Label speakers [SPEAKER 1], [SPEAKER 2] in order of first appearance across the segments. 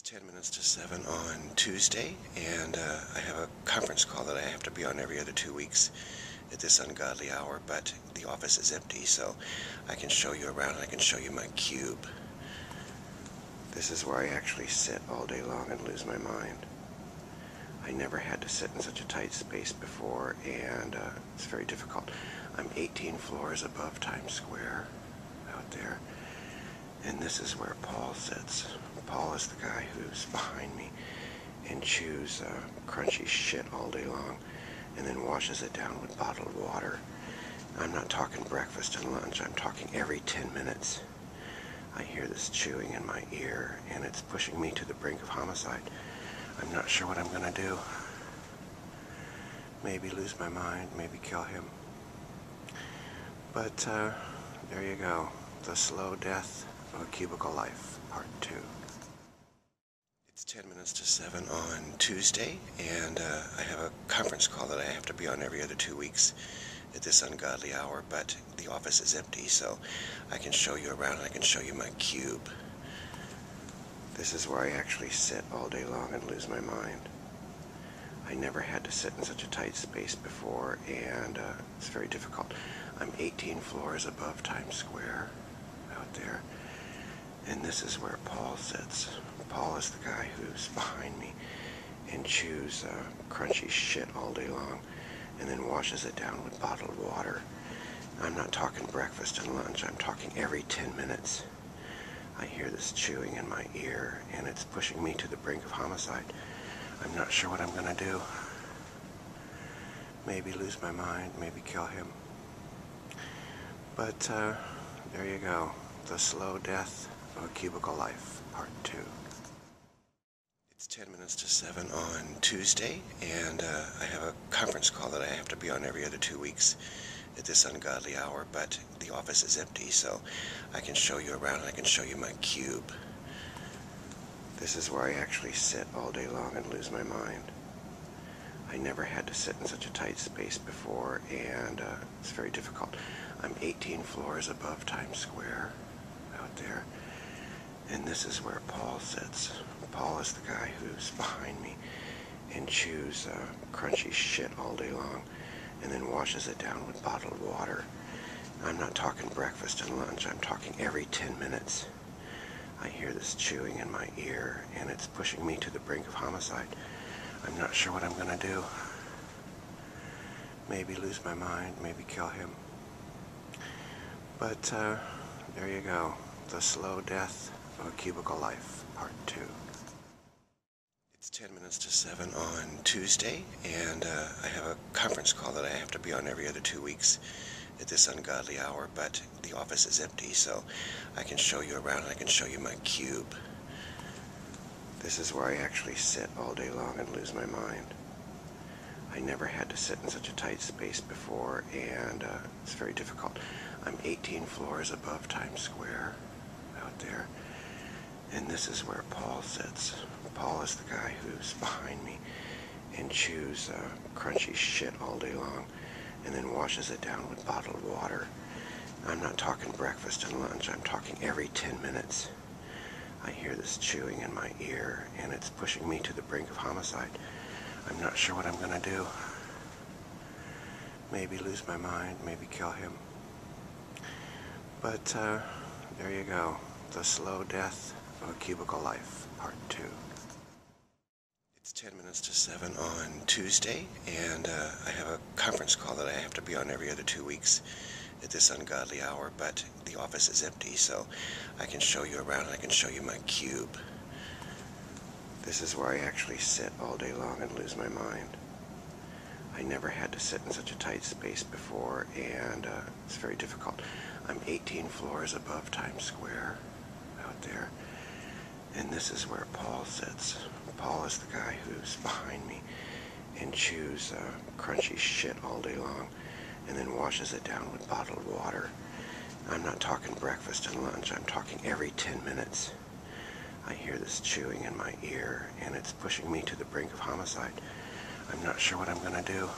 [SPEAKER 1] It's 10 minutes to 7 on Tuesday, and uh, I have a conference call that I have to be on every other two weeks at this ungodly hour, but the office is empty, so I can show you around I can show you my cube. This is where I actually sit all day long and lose my mind. I never had to sit in such a tight space before, and uh, it's very difficult. I'm 18 floors above Times Square out there, and this is where Paul sits. Paul is the guy who's behind me and chews uh, crunchy shit all day long, and then washes it down with bottled water I'm not talking breakfast and lunch. I'm talking every 10 minutes. I hear this chewing in my ear, and it's pushing me to the brink of homicide. I'm not sure what I'm going to do. Maybe lose my mind, maybe kill him. But uh, there you go. The Slow Death of Cubicle Life, Part 2. It's 10 10 minutes to 7 on Tuesday, and uh, I have a conference call that I have to be on every other two weeks at this ungodly hour, but the office is empty, so I can show you around I can show you my cube. This is where I actually sit all day long and lose my mind. I never had to sit in such a tight space before, and uh, it's very difficult. I'm 18 floors above Times Square out there, and this is where Paul sits. Paul is the guy who's behind me and chews uh, crunchy shit all day long and then washes it down with bottled water. I'm not talking breakfast and lunch, I'm talking every 10 minutes. I hear this chewing in my ear and it's pushing me to the brink of homicide. I'm not sure what I'm gonna do. Maybe lose my mind, maybe kill him. But uh, there you go, the slow death of a cubicle life, part two. It's 10 minutes to 7 on Tuesday, and uh, I have a conference call that I have to be on every other two weeks at this ungodly hour, but the office is empty, so I can show you around and I can show you my cube. This is where I actually sit all day long and lose my mind. I never had to sit in such a tight space before, and uh, it's very difficult. I'm 18 floors above Times Square out there, and this is where Paul sits. Paul is the guy who's behind me and chews uh, crunchy shit all day long and then washes it down with bottled water. I'm not talking breakfast and lunch, I'm talking every 10 minutes. I hear this chewing in my ear and it's pushing me to the the brink of homicide. I'm not sure what I'm going to do. Maybe lose my mind, maybe kill him. But uh, there you go. The Slow Death of a Cubicle Life, Part 2. It's 10 minutes to 7 on Tuesday, and uh, I have a conference call that I have to be on every other two weeks at this ungodly hour, but the office is empty, so I can show you around I can show you my cube. This is where I actually sit all day long and lose my mind. I never had to sit in such a tight space before, and uh, it's very difficult. I'm 18 floors above Times Square out there, and this is where Paul sits. Paul is the guy who's behind me and chews uh, crunchy shit all day long and then washes it down with bottled water. I'm not talking breakfast and lunch, I'm talking every 10 minutes. I hear this chewing in my ear and it's pushing me to the brink of homicide. I'm not sure what I'm going to do. Maybe lose my mind, maybe kill him. But uh, there you go. The Slow Death of a Cubicle Life, Part 2. It's 10 minutes to 7 on Tuesday, and uh, I have a conference call that I have to be on every other two weeks at this ungodly hour, but the office is empty, so I can show you around I can show you my cube. This is where I actually sit all day long and lose my mind. I never had to sit in such a tight space before, and uh, it's very difficult. I'm 18 floors above Times Square out there, and this is where Paul sits. Paul is the guy who's behind me and chews uh, crunchy shit all day long and then washes it down with bottled water. I'm not talking breakfast and lunch, I'm talking every 10 minutes. I hear this chewing in my ear and it's pushing me to the brink of homicide. I'm not sure what I'm gonna do.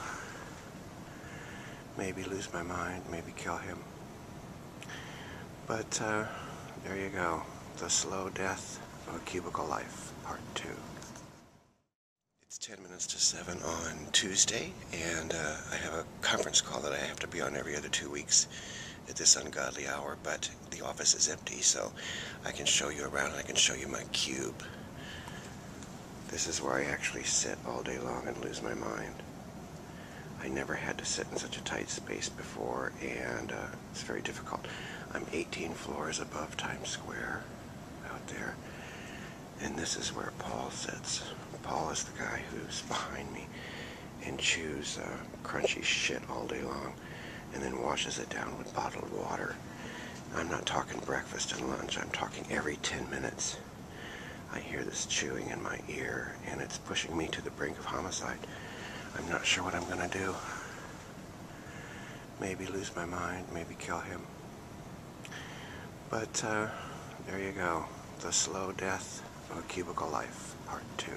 [SPEAKER 1] Maybe lose my mind, maybe kill him. But uh, there you go, The Slow Death of a Cubicle Life, Part 2. It's 10 minutes to 7 on Tuesday, and uh, I have a conference call that I have to be on every other two weeks at this ungodly hour, but the office is empty, so I can show you around and I can show you my cube. This is where I actually sit all day long and lose my mind. I never had to sit in such a tight space before, and uh, it's very difficult. I'm 18 floors above Times Square out there, and this is where Paul sits. Paul is the guy who's behind me and chews uh, crunchy shit all day long and then washes it down with bottled water. I'm not talking breakfast and lunch, I'm talking every 10 minutes. I hear this chewing in my ear and it's pushing me to the brink of homicide. I'm not sure what I'm going to do. Maybe lose my mind, maybe kill him. But uh, there you go. The Slow Death of Cubicle Life, Part 2.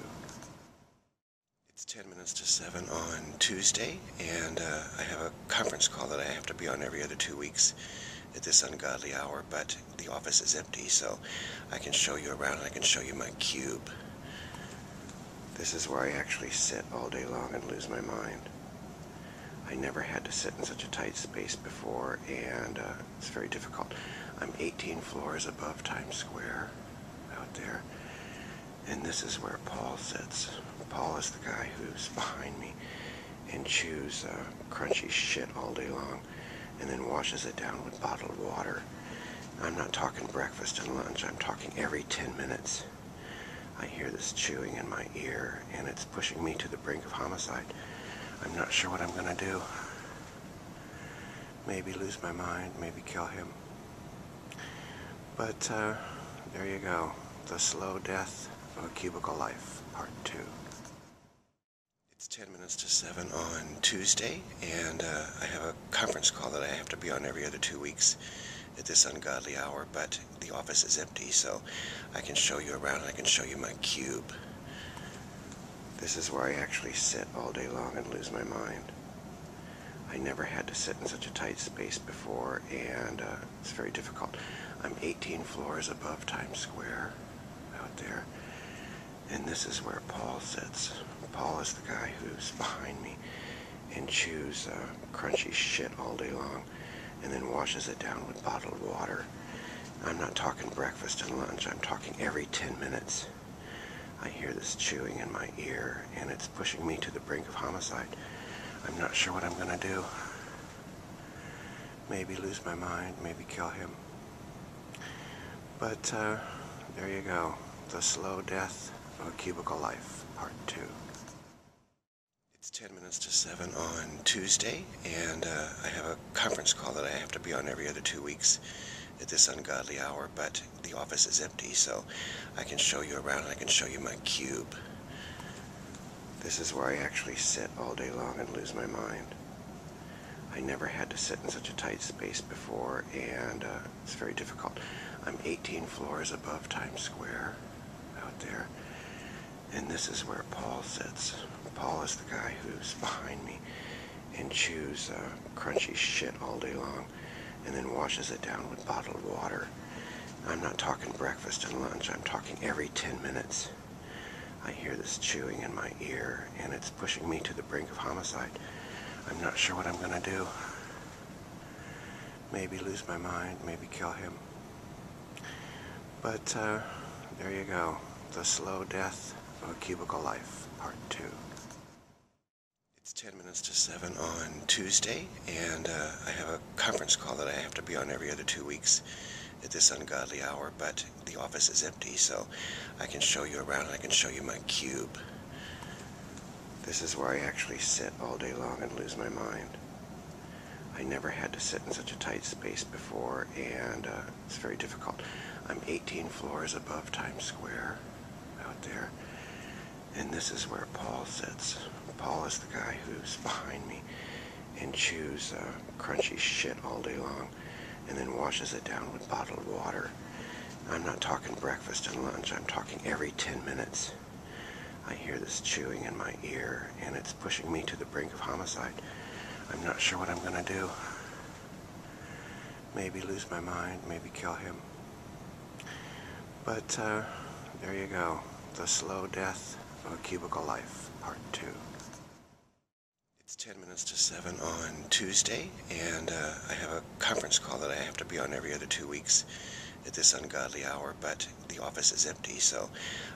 [SPEAKER 1] It's 10 minutes to 7 on Tuesday, and uh, I have a conference call that I have to be on every other two weeks at this ungodly hour, but the office is empty, so I can show you around I can show you my cube. This is where I actually sit all day long and lose my mind. I never had to sit in such a tight space before, and uh, it's very difficult. I'm 18 floors above Times Square out there, and this is where Paul sits. Paul is the guy who's behind me and chews uh, crunchy shit all day long and then washes it down with bottled water. I'm not talking breakfast and lunch, I'm talking every 10 minutes. I hear this chewing in my ear and it's pushing me to the brink of homicide. I'm not sure what I'm going to do. Maybe lose my mind, maybe kill him. But uh, there you go. The Slow Death of a Cubicle Life, Part 2. It's 10 minutes to 7 on Tuesday, and uh, I have a conference call that I have to be on every other two weeks at this ungodly hour, but the office is empty, so I can show you around and I can show you my cube. This is where I actually sit all day long and lose my mind. I never had to sit in such a tight space before, and uh, it's very difficult. I'm 18 floors above Times Square out there, and this is where Paul sits. Paul is the guy who's behind me and chews uh, crunchy shit all day long and then washes it down with bottled water. I'm not talking breakfast and lunch, I'm talking every 10 minutes. I hear this chewing in my ear and it's pushing me to the brink of homicide. I'm not sure what I'm going to do maybe lose my mind, maybe kill him. But uh, there you go, The Slow Death of Cubicle Life, Part 2. It's 10 minutes to 7 on Tuesday, and uh, I have a conference call that I have to be on every other two weeks at this ungodly hour, but the office is empty, so I can show you around, I can show you my cube. This is where I actually sit all day long and lose my mind. I never had to sit in such a tight space before, and uh, it's very difficult. I'm 18 floors above Times Square out there, and this is where Paul sits. Paul is the guy who's behind me and chews uh, crunchy shit all day long and then washes it down with bottled water. I'm not talking breakfast and lunch, I'm talking every 10 minutes. I hear this chewing in my ear and it's pushing me to the brink of homicide. I'm not sure what I'm going to do. Maybe lose my mind, maybe kill him. But uh, there you go. The Slow Death of Cubicle Life, Part 2. It's 10 minutes to 7 on Tuesday, and uh, I have a conference call that I have to be on every other two weeks at this ungodly hour, but the office is empty, so I can show you around. I can show you my cube. This is where I actually sit all day long and lose my mind. I never had to sit in such a tight space before, and uh, it's very difficult. I'm 18 floors above Times Square out there, and this is where Paul sits. Paul is the guy who's behind me and chews uh, crunchy shit all day long and then washes it down with bottled water. I'm not talking breakfast and lunch, I'm talking every 10 minutes. I hear this chewing in my ear and it's pushing me to the brink of homicide. I'm not sure what I'm going to do. Maybe lose my mind, maybe kill him. But uh, there you go. The Slow Death of a Cubicle Life, Part 2. It's 10 minutes to 7 on Tuesday, and uh, I have a conference call that I have to be on every other two weeks at this ungodly hour, but the office is empty, so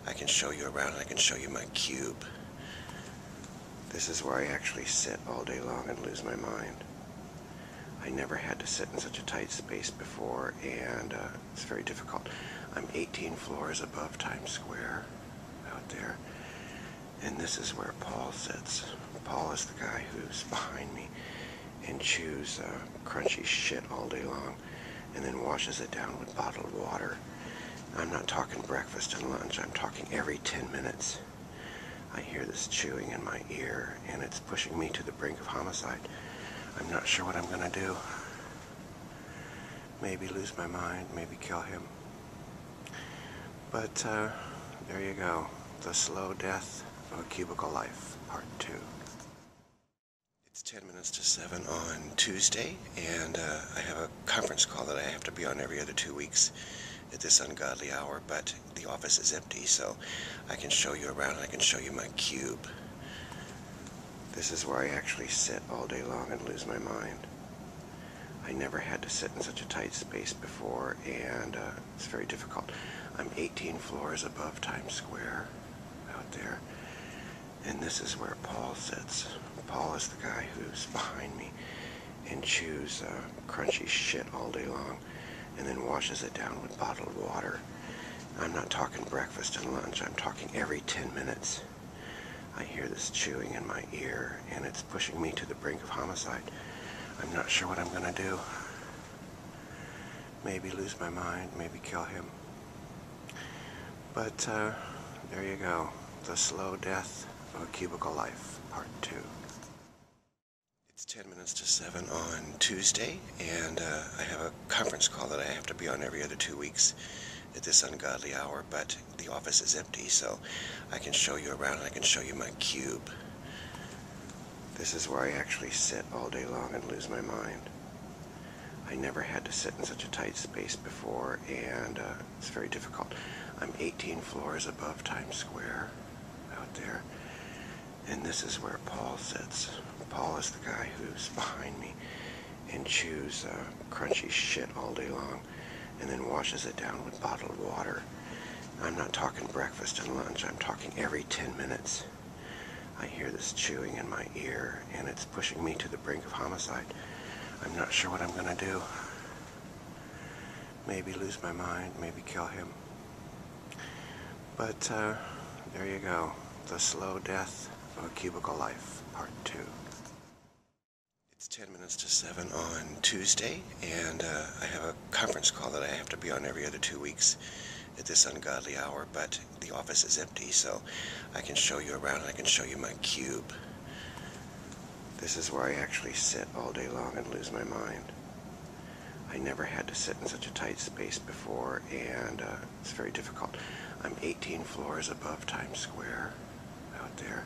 [SPEAKER 1] I can show you around I can show you my cube. This is where I actually sit all day long and lose my mind. I never had to sit in such a tight space before, and uh, it's very difficult. I'm 18 floors above Times Square out there. And this is where Paul sits. Paul is the guy who's behind me and chews uh, crunchy shit all day long and then washes it down with bottled water. I'm not talking breakfast and lunch, I'm talking every 10 minutes. I hear this chewing in my ear and it's pushing me to the brink of homicide. I'm not sure what I'm going to do maybe lose my mind, maybe kill him. But uh, there you go, the slow death of a cubicle life, part two. It's 10 minutes to 7 on Tuesday, and uh, I have a conference call that I have to be on every other two weeks at this ungodly hour, but the office is empty, so I can show you around, I can show you my cube. This is where I actually sit all day long and lose my mind. I never had to sit in such a tight space before, and uh, it's very difficult. I'm 18 floors above Times Square out there, and this is where Paul sits. Paul is the guy who's behind me and chews uh, crunchy shit all day long and then washes it down with bottled water. I'm not talking breakfast and lunch, I'm talking every 10 minutes. I hear this chewing in my ear and it's pushing me to the brink of homicide. I'm not sure what I'm going to do. Maybe lose my mind, maybe kill him. But uh, there you go. The Slow Death of Cubicle Life, Part 2. It's 10 minutes to 7 on Tuesday, and uh, I have a conference call that I have to be on every other two weeks at this ungodly hour, but the office is empty, so I can show you around and I can show you my cube. This is where I actually sit all day long and lose my mind. I never had to sit in such a tight space before, and uh, it's very difficult. I'm 18 floors above Times Square out there, and this is where Paul sits. Paul is the guy who's behind me and chews uh, crunchy shit all day long and then washes it down with bottled water. I'm not talking breakfast and lunch, I'm talking every 10 minutes. I hear this chewing in my ear and it's pushing me to the brink of homicide. I'm not sure what I'm gonna do. Maybe lose my mind, maybe kill him. But uh, there you go, The Slow Death of a Cubicle Life, Part 2. It's 10 minutes to 7 on Tuesday, and uh, I have a conference call that I have to be on every other two weeks at this ungodly hour, but the office is empty, so I can show you around I can show you my cube. This is where I actually sit all day long and lose my mind. I never had to sit in such a tight space before, and uh, it's very difficult. I'm 18 floors above Times Square out there.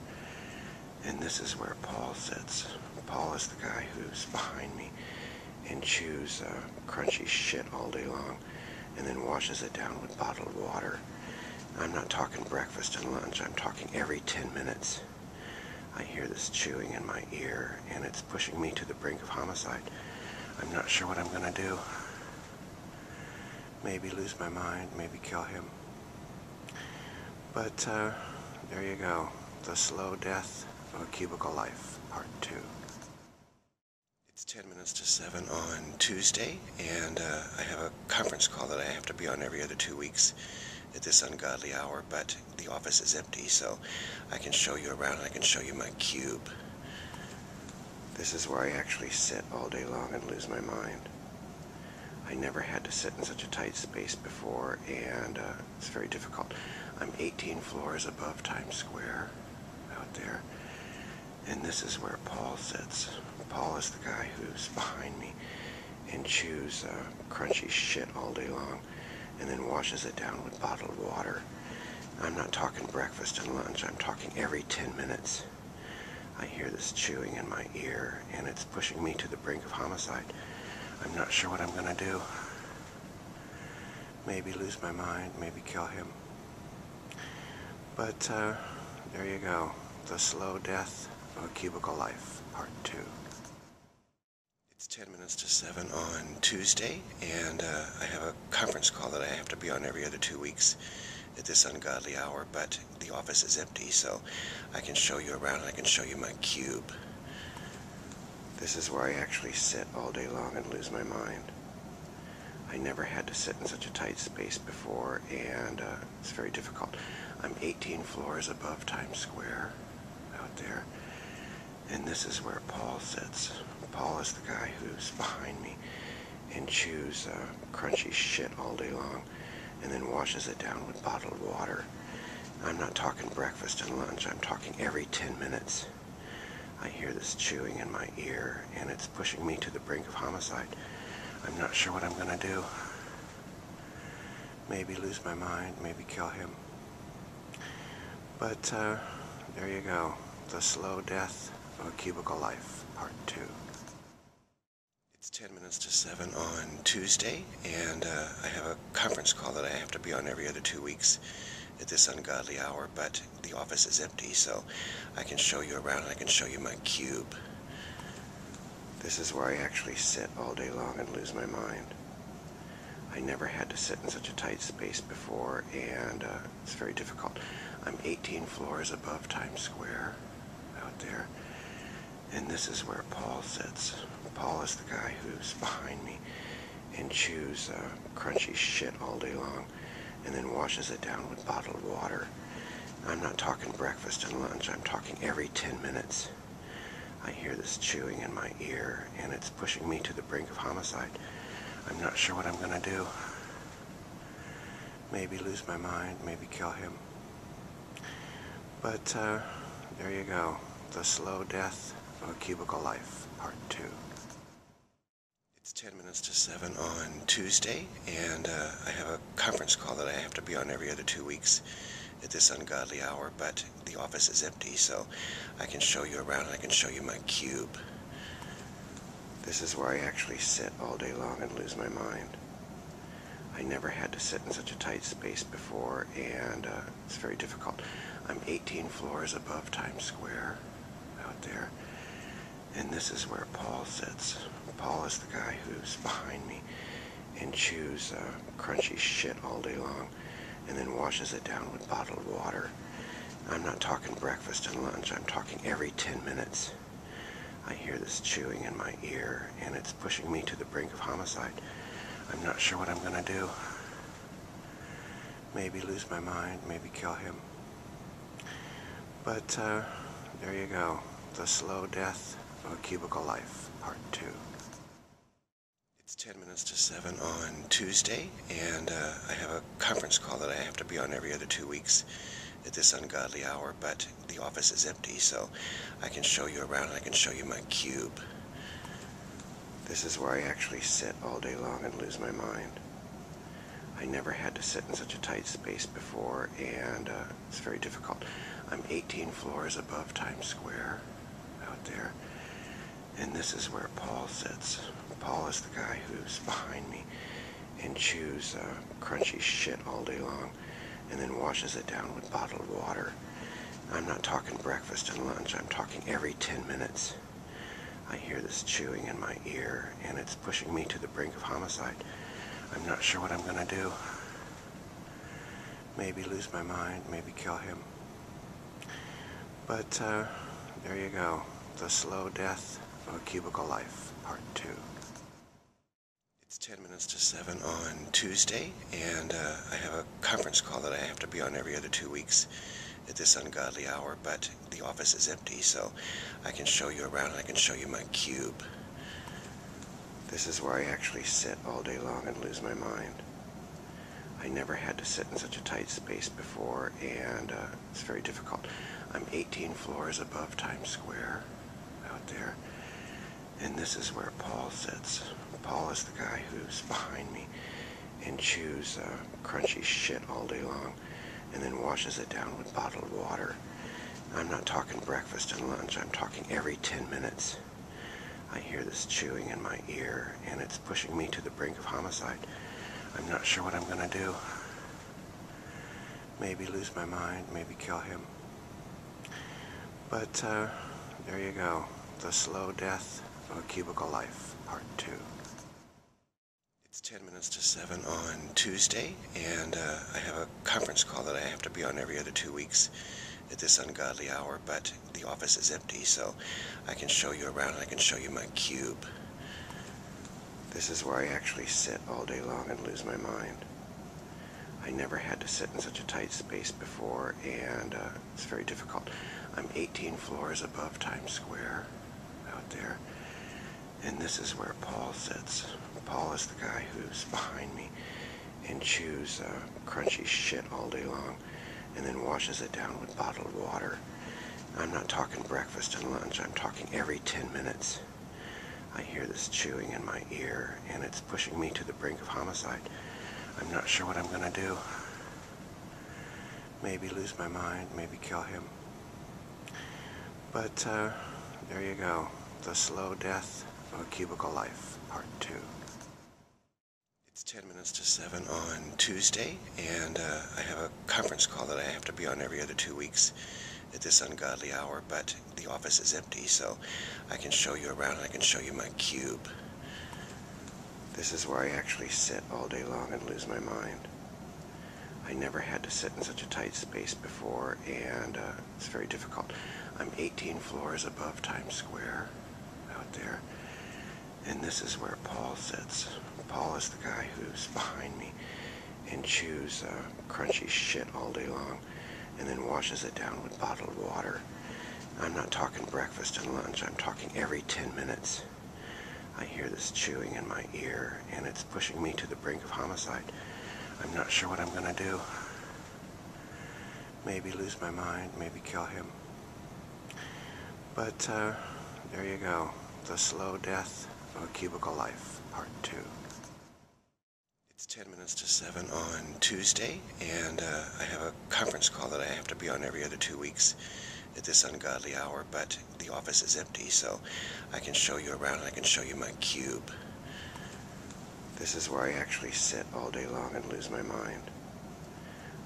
[SPEAKER 1] And this is where Paul sits. Paul is the guy who's behind me and chews uh, crunchy shit all day long and then washes it down with bottled water. I'm not talking breakfast and lunch, I'm talking every 10 minutes. I hear this chewing in my ear and it's pushing me to the brink of homicide. I'm not sure what I'm going to do maybe lose my mind, maybe kill him. But uh, there you go, The Slow Death of a Cubicle Life, Part 2. It's 10 minutes to 7 on Tuesday, and uh, I have a conference call that I have to be on every other two weeks at this ungodly hour, but the office is empty, so I can show you around, I can show you my cube. This is where I actually sit all day long and lose my mind. I never had to sit in such a tight space before, and uh, it's very difficult. I'm 18 floors above Times Square out there, and this is where Paul sits. Paul is the guy who's behind me and chews uh, crunchy shit all day long and then washes it down with bottled water. I'm not talking breakfast and lunch, I'm talking every 10 minutes. I hear this chewing in my ear and it's pushing me to the brink of homicide. I'm not sure what I'm going to do. Maybe lose my mind, maybe kill him. But uh, there you go. The Slow Death of Cubicle Life, Part 2. It's 10 minutes to 7 on Tuesday, and uh, I have a conference call that I have to be on every other two weeks at this ungodly hour, but the office is empty, so I can show you around and I can show you my cube. This is where I actually sit all day long and lose my mind. I never had to sit in such a tight space before, and uh, it's very difficult. I'm 18 floors above Times Square out there, and this is where Paul sits. Paul is the guy who's behind me and chews uh, crunchy shit all day long and then washes it down with bottled water. I'm not talking breakfast and lunch, I'm talking every 10 minutes. I hear this chewing in my ear and it's pushing me to the brink of homicide. I'm not sure what I'm gonna do. Maybe lose my mind, maybe kill him. But uh, there you go, the slow death for Cubicle Life Part 2. It's 10 minutes to 7 on Tuesday, and uh, I have a conference call that I have to be on every other two weeks at this ungodly hour, but the office is empty, so I can show you around I can show you my cube. This is where I actually sit all day long and lose my mind. I never had to sit in such a tight space before, and uh, it's very difficult. I'm 18 floors above Times Square out there. And this is where Paul sits. Paul is the guy who's behind me and chews uh, crunchy shit all day long and then washes it down with bottled water. I'm not talking breakfast and lunch, I'm talking every 10 minutes. I hear this chewing in my ear and it's pushing me to the brink of homicide. I'm not sure what I'm going to do maybe lose my mind, maybe kill him. But uh, there you go, The Slow Death of a Cubicle Life, Part 2. It's 10 minutes to 7 on Tuesday, and uh, I have a conference call that I have to be on every other two weeks at this ungodly hour, but the office is empty, so I can show you around and I can show you my cube. This is where I actually sit all day long and lose my mind. I never had to sit in such a tight space before, and uh, it's very difficult. I'm 18 floors above Times Square out there, and this is where Paul sits. Paul is the guy who's behind me and chews uh, crunchy shit all day long, and then washes it down with bottled water. I'm not talking breakfast and lunch, I'm talking every 10 minutes. I hear this chewing in my ear and it's pushing me to the brink of homicide. I'm not sure what I'm gonna do. Maybe lose my mind, maybe kill him. But uh, there you go. The Slow Death of Cubicle Life, Part 2. It's 10 minutes to 7 on Tuesday, and uh, I have conference call that I have to be on every other two weeks at this ungodly hour, but the office is empty, so I can show you around I can show you my cube. This is where I actually sit all day long and lose my mind. I never had to sit in such a tight space before, and uh, it's very difficult. I'm 18 floors above Times Square out there, and this is where Paul sits. Paul is the guy who's behind me and chews uh, crunchy shit all day long and then washes it down with bottled water. I'm not talking breakfast and lunch, I'm talking every 10 minutes. I hear this chewing in my ear and it's pushing me to the brink of homicide. I'm not sure what I'm gonna do. Maybe lose my mind, maybe kill him. But uh, there you go, The Slow Death of a Cubicle Life, Part 2. It's 10 minutes to 7 on Tuesday, and uh, I have a conference call that I have to be on every other two weeks at this ungodly hour, but the office is empty, so I can show you around and I can show you my cube. This is where I actually sit all day long and lose my mind. I never had to sit in such a tight space before, and uh, it's very difficult. I'm 18 floors above Times Square out there. And this is where Paul sits. Paul is the guy who's behind me and chews uh, crunchy shit all day long and then washes it down with bottled water. I'm not talking breakfast and lunch, I'm talking every 10 minutes. I hear this chewing in my ear and it's pushing me to the brink of homicide. I'm not sure what I'm going to do. Maybe lose my mind, maybe kill him. But uh, there you go. The Slow Death of a Cubicle Life, Part 2. It's 10 minutes to 7 on Tuesday, and uh, I have a conference call that I have to be on every other two weeks at this ungodly hour, but the office is empty, so I can show you around I can show you my cube. This is where I actually sit all day long and lose my mind. I never had to sit in such a tight space before, and uh, it's very difficult. I'm 18 floors above Times Square out there, and this is where Paul sits. Paul is the guy who's behind me and chews uh, crunchy shit all day long, and then washes it down with bottled water I'm not talking breakfast and lunch, I'm talking every 10 minutes. I hear this chewing in my ear and it's pushing me to the brink of homicide. I'm not sure what I'm gonna do. Maybe lose my mind, maybe kill him. But uh, there you go. The slow death of cubicle life, part two. 10 minutes to 7 on Tuesday, and uh, I have a conference call that I have to be on every other two weeks at this ungodly hour, but the office is empty, so I can show you around I can show you my cube. This is where I actually sit all day long and lose my mind. I never had to sit in such a tight space before, and uh, it's very difficult. I'm 18 floors above Times Square out there and this is where Paul sits. Paul is the guy who's behind me and chews uh, crunchy shit all day long and then washes it down with bottled water. I'm not talking breakfast and lunch, I'm talking every 10 minutes. I hear this chewing in my ear and it's pushing me to the brink of homicide. I'm not sure what I'm gonna do. Maybe lose my mind, maybe kill him. But uh, there you go, The Slow Death of a Cubicle Life, Part 2. It's 10 minutes to 7 on Tuesday, and uh, I have a conference call that I have to be on every other two weeks at this ungodly hour, but the office is empty, so I can show you around and I can show you my cube. This is where I actually sit all day long and lose my mind.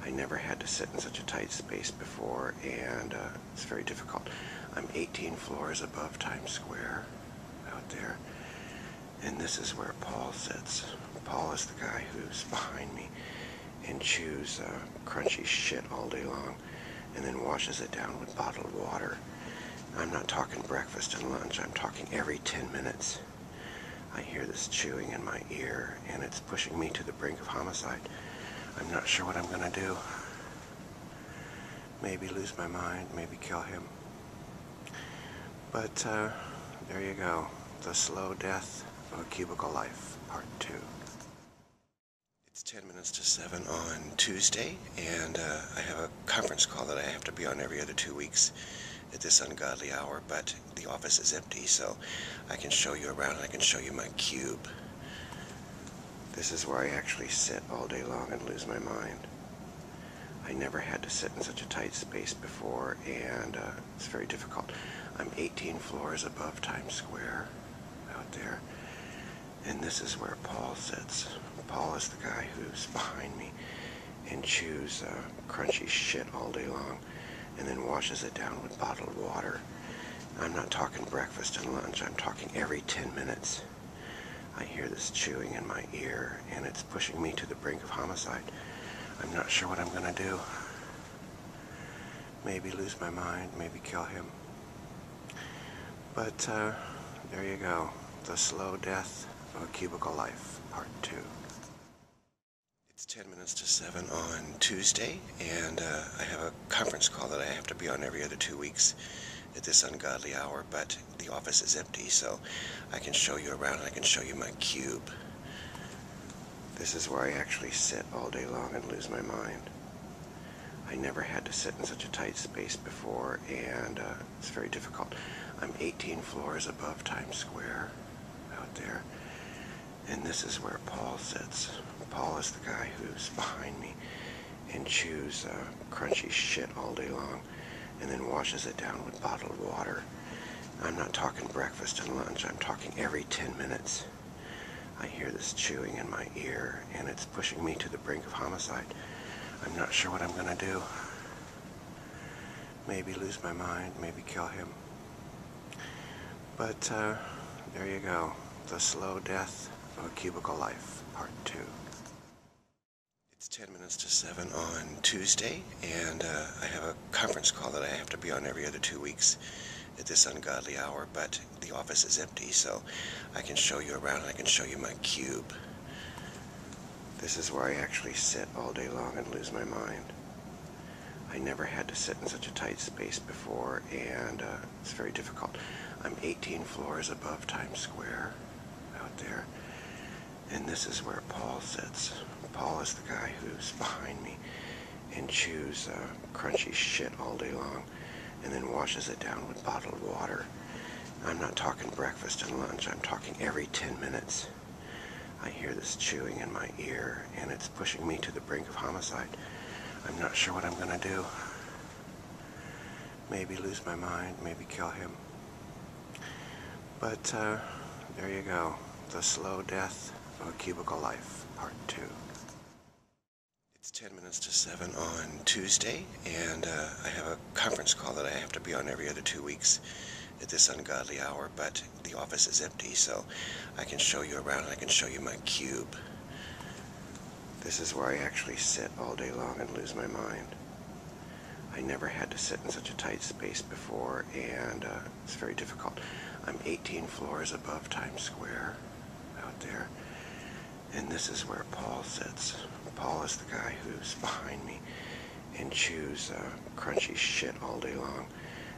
[SPEAKER 1] I never had to sit in such a tight space before, and uh, it's very difficult. I'm 18 floors above Times Square out there, and this is where Paul sits. Paul is the guy who's behind me and chews uh, crunchy shit all day long and then washes it down with bottled water. I'm not talking breakfast and lunch, I'm talking every 10 minutes. I hear this chewing in my ear and it's pushing me to the the brink of homicide. I'm not sure what I'm going to do. Maybe lose my mind, maybe kill him. But uh, there you go. The Slow Death of a Cubicle Life, Part 2. It's 10 minutes to 7 on Tuesday, and uh, I have a conference call that I have to be on every other two weeks at this ungodly hour, but the office is empty, so I can show you around I can show you my cube. This is where I actually sit all day long and lose my mind. I never had to sit in such a tight space before, and uh, it's very difficult. I'm 18 floors above Times Square out there, and this is where Paul sits. Paul is the guy who's behind me and chews uh, crunchy shit all day long and then washes it down with bottled water. I'm not talking breakfast and lunch, I'm talking every 10 minutes. I hear this chewing in my ear and it's pushing me to the brink of homicide. I'm not sure what I'm going to do. Maybe lose my mind, maybe kill him. But uh, there you go. The Slow Death of Cubicle Life, Part 2. It's 10 minutes to 7 on Tuesday, and uh, I have a conference call that I have to be on every other two weeks at this ungodly hour, but the office is empty, so I can show you around I can show you my cube. This is where I actually sit all day long and lose my mind. I never had to sit in such a tight space before, and uh, it's very difficult. I'm 18 floors above Times Square out there, and this is where Paul sits. Paul is the guy who's behind me and chews uh, crunchy shit all day long and then washes it down with bottled water. I'm not talking breakfast and lunch, I'm talking every 10 minutes. I hear this chewing in my ear and it's pushing me to the brink of homicide. I'm not sure what I'm gonna do. Maybe lose my mind, maybe kill him. But uh, there you go, The Slow Death of a Cubicle Life, Part 2. It's 10 minutes to 7 on Tuesday, and uh, I have a conference call that I have to be on every other two weeks at this ungodly hour, but the office is empty, so I can show you around and I can show you my cube. This is where I actually sit all day long and lose my mind. I never had to sit in such a tight space before, and uh, it's very difficult. I'm 18 floors above Times Square out there, and this is where Paul sits. Paul is the guy who's behind me and chews uh, crunchy shit all day long and then washes it down with bottled water. I'm not talking breakfast and lunch, I'm talking every 10 minutes. I hear this chewing in my ear and it's pushing me to the brink of homicide. I'm not sure what I'm going to do. Maybe lose my mind, maybe kill him. But uh, there you go. The Slow Death of a Cubicle Life, Part 2. It's 10 minutes to 7 on Tuesday, and uh, I have a conference call that I have to be on every other two weeks at this ungodly hour, but the office is empty, so I can show you around I can show you my cube. This is where I actually sit all day long and lose my mind. I never had to sit in such a tight space before, and uh, it's very difficult. I'm 18 floors above Times Square out there, and this is where Paul sits. Paul is the guy who's behind me and chews uh, crunchy shit all day long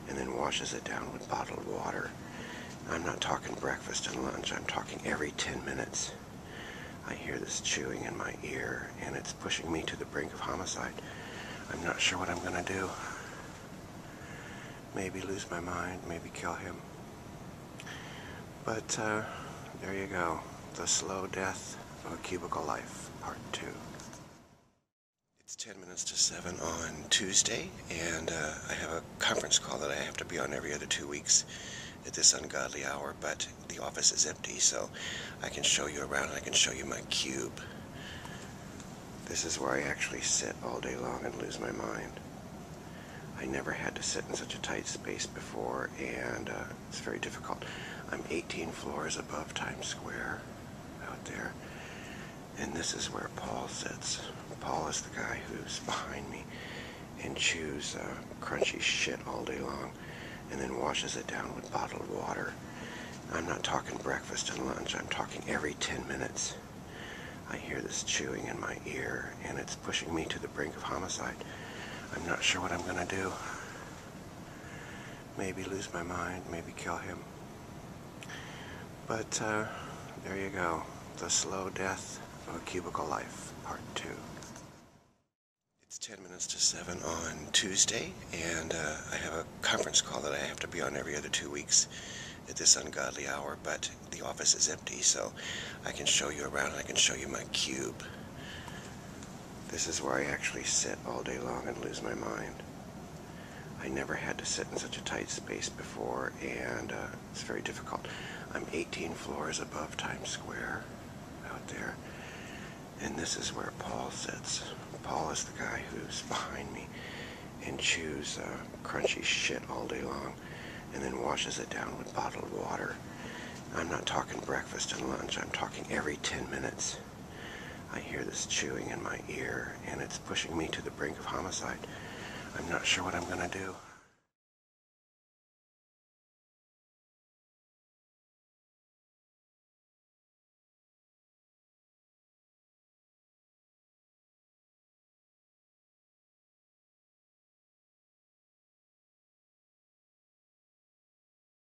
[SPEAKER 1] and then washes it down with bottled water. I'm not talking breakfast and lunch, I'm talking every 10 minutes. I hear this chewing in my ear and it's pushing me to the brink of homicide. I'm not sure what I'm going to do. Maybe lose my mind, maybe kill him. But uh, there you go. The Slow Death of a Cubicle Life, Part 2. It's 10 minutes to 7 on Tuesday, and uh, I have a conference call that I have to be on every other two weeks at this ungodly hour, but the office is empty, so I can show you around and I can show you my cube. This is where I actually sit all day long and lose my mind. I never had to sit in such a tight space before, and uh, it's very difficult. I'm 18 floors above Times Square out there, and this is where Paul sits. Paul is the guy who's behind me and chews uh, crunchy shit all day long and then washes it down with bottled water. I'm not talking breakfast and lunch, I'm talking every 10 minutes. I hear this chewing in my ear and it's pushing me to the brink of homicide. I'm not sure what I'm going to do maybe lose my mind, maybe kill him. But uh, there you go, the slow death of cubicle life, part two. It's 10 minutes to 7 on Tuesday, and uh, I have a conference call that I have to be on every other two weeks at this ungodly hour, but the office is empty, so I can show you around and I can show you my cube. This is where I actually sit all day long and lose my mind. I never had to sit in such a tight space before, and uh, it's very difficult. I'm 18 floors above Times Square out there, and this is where Paul sits. Paul is the guy who's behind me and chews uh, crunchy shit all day long and then washes it down with bottled water. I'm not talking breakfast and lunch, I'm talking every 10 minutes. I hear this chewing in my ear, and it's pushing me to the brink of homicide. I'm not sure what I'm going to do.